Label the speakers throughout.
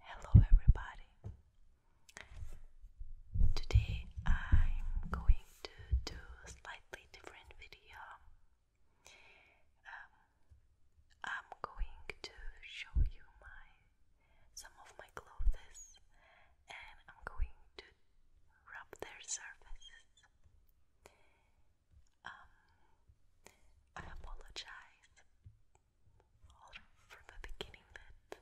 Speaker 1: Hello, everybody. Today I'm going to do a slightly different video. Um, I'm going to show you my some of my clothes and I'm going to rub their surfaces. Um, I apologize from the beginning that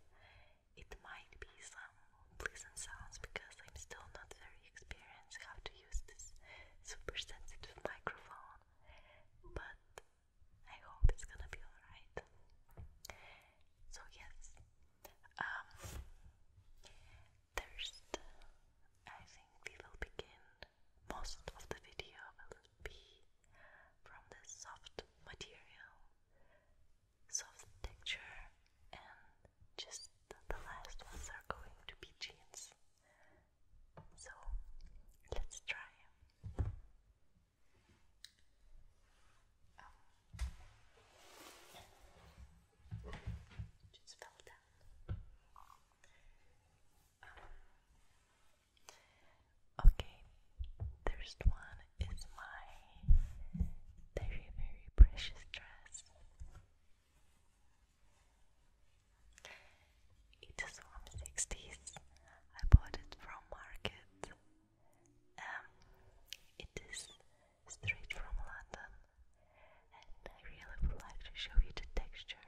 Speaker 1: it might be some unpleasant sounds because I'm still not very experienced how to use this super sensitive microphone, but I hope it's gonna be alright. So yes, um, first I think we will begin. Most of the video will be from the soft material, soft texture, and just the last ones are going to be jeans. So let's try. Oh. Just um, Okay, first one is my very, very precious dress. It is from 60s. I bought it from market. Um, it is straight from London, and I really would like to show you the texture.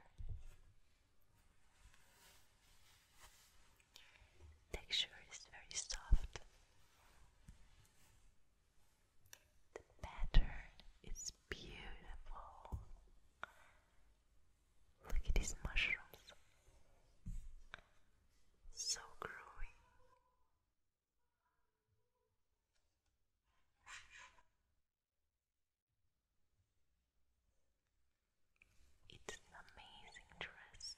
Speaker 1: Texture is very soft. The pattern is beautiful. Look at these mushrooms. So groovy. It's an amazing dress.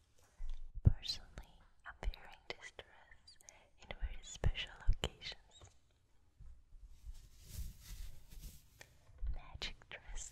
Speaker 1: personally, I'm wearing this dress in very special occasions. Magic dress.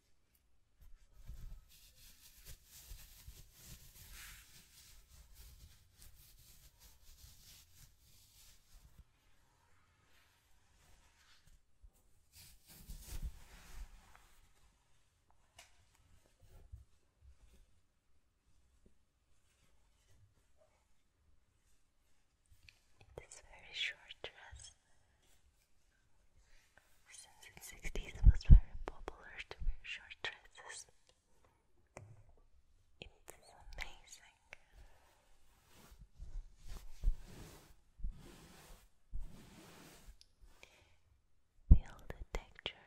Speaker 1: This very short dress since in sixties it was very popular to wear short dresses. It's amazing. Feel the texture.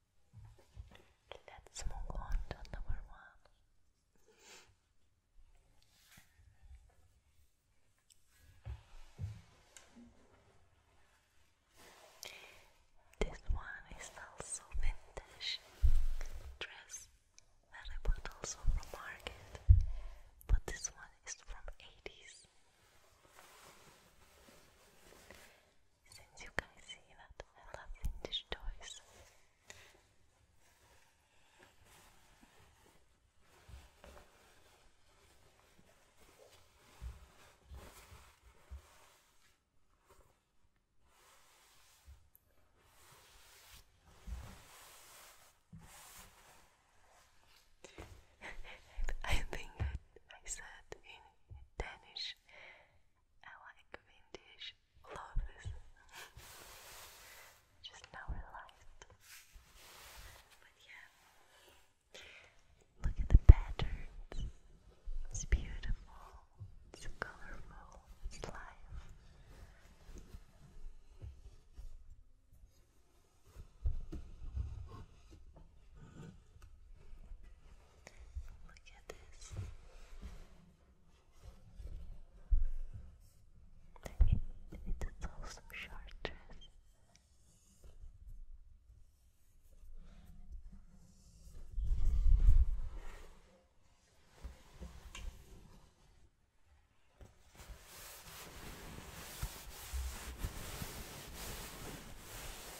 Speaker 1: Let's move on to number one. This one is also vintage dress that I bought also from market, but this one is from 80s since you guys see that I love vintage toys. I think I, said in Danish, I like vintage. Love Just now realized. But yeah, look at the patterns. It's beautiful. It's colorful. It's life. Look at this. It, it's also short dress.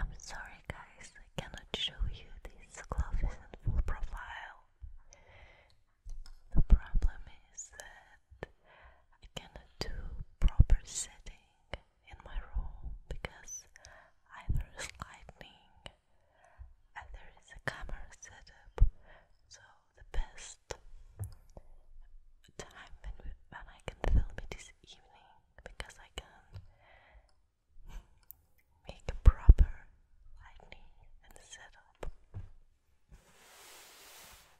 Speaker 1: I'm sorry, guys, I cannot show you this glove in full profile. The problem is that that I cannot do proper setting in my room because either is lighting, either is a camera setup, so the best time when, I can film it is evening because I can make a proper lightning and setup.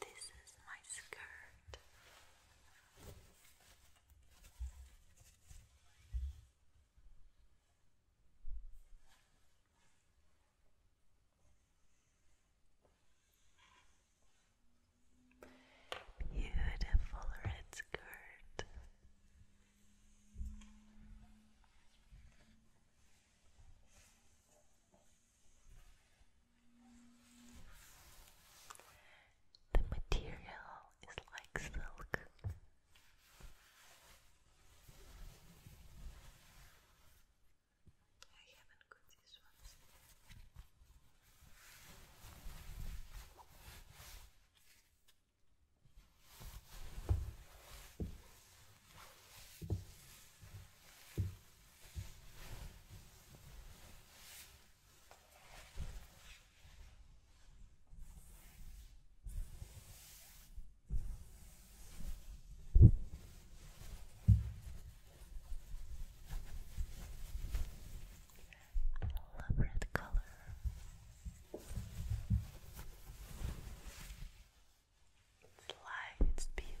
Speaker 1: This is my skirt. Beautiful red skirt. The material is like silk. I haven't got these ones love red color. Life is beautiful.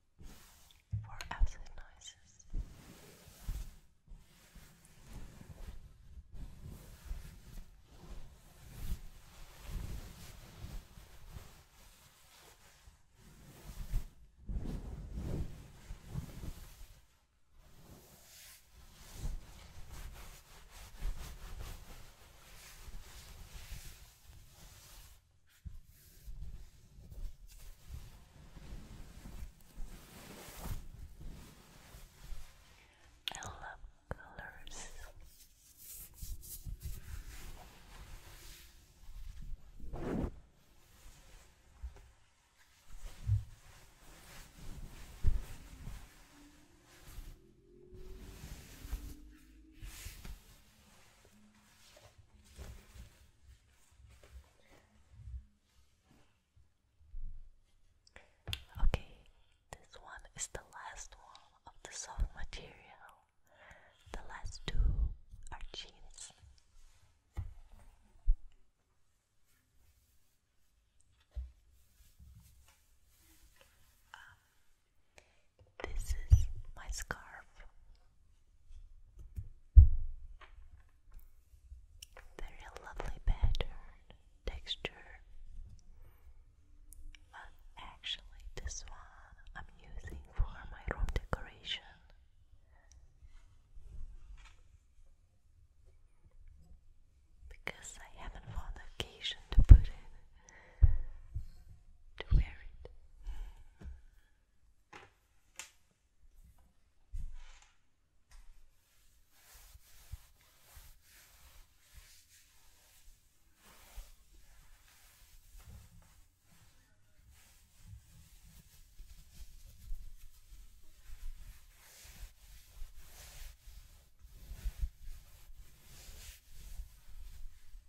Speaker 1: for acid noises. I love colors. Okay, this one is the last one of the soft material. The last two are jeans. This is my scarf. Very lovely pattern, texture. But actually, this one I'm using for my room decoration. Because I haven't found occasion to put it to wear it.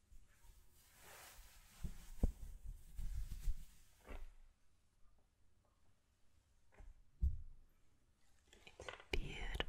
Speaker 1: It's beautiful. Yeah.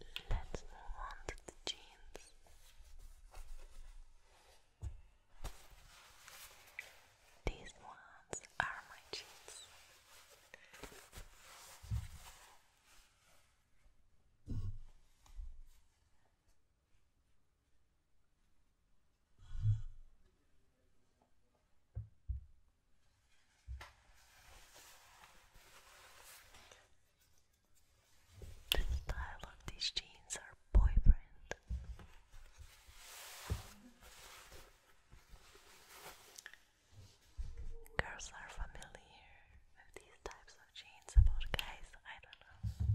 Speaker 1: Let's move on to the jeans. These ones are my jeans. The style of these jeans are boyfriend. Girls are familiar with these types of jeans, about guys, I don't know.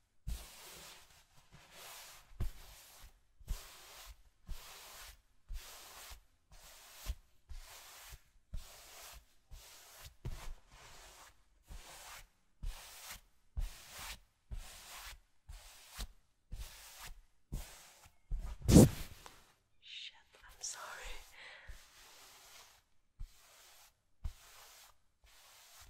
Speaker 1: Shit, I'm sorry.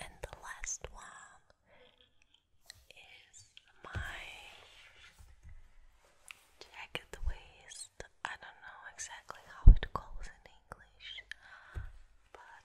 Speaker 1: And the last one is my jacket waist. I don't know exactly how it goes in English, but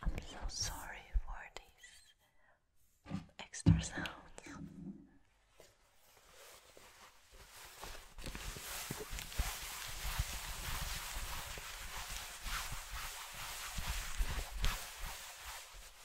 Speaker 1: I'm so sorry for these extra sounds.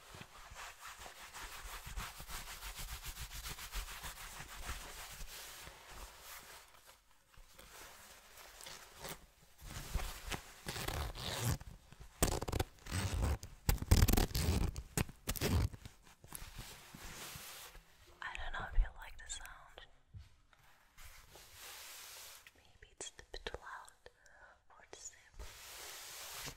Speaker 1: I don't know if you like the sound. Maybe it's a bit loud or simple.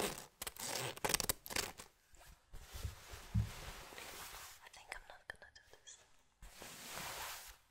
Speaker 1: I think I'm not gonna do this. I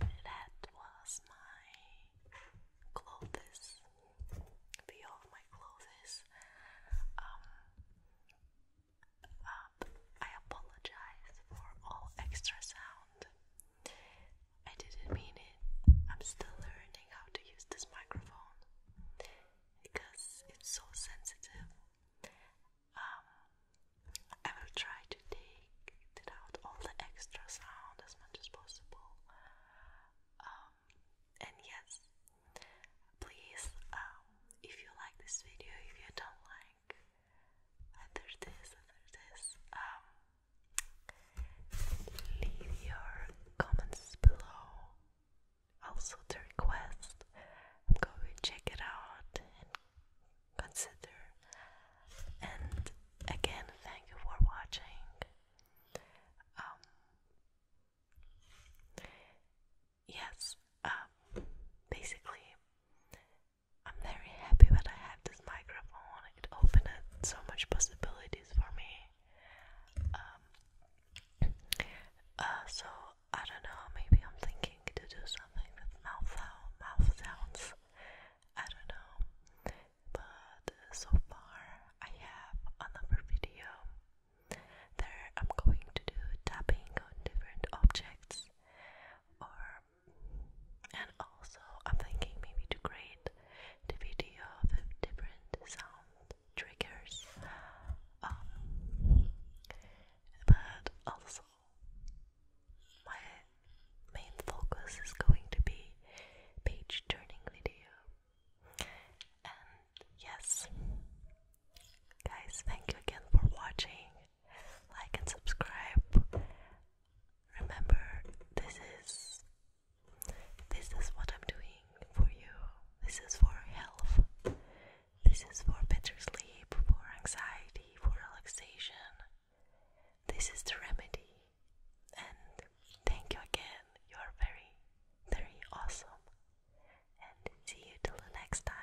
Speaker 1: That was my clothes, video of my clothes. Um, um, I apologize for all extra sound. I didn't mean it. I'm still learning how to use this microphone because it's so sensitive. I um, will try to take out all the extra sound as much as possible. Um, and yes, please, um, if you like this video, if you don't like either uh, this, either this, leave your comments below. Also, the request. I'm check it out consider and again thank you for watching um, yes um, basically I'm very happy that I have this microphone it opened so much possibilities for me um, uh, so I don't know, maybe I'm thinking to do something with mouth, mouth sounds. I don't know. But so far, I have another video. There, I'm going to do tapping on different objects, or and also I'm thinking maybe to create the video with different sound triggers. Um, but also my main focus is going to be page turning video. And yes, guys, thank you again for watching. Like and subscribe. Remember, this is this is what I'm doing for you. This is for health. This is for better sleep, for anxiety, for relaxation. This is the remedy. And thank you again. You are very, very awesome. And see you till the next time.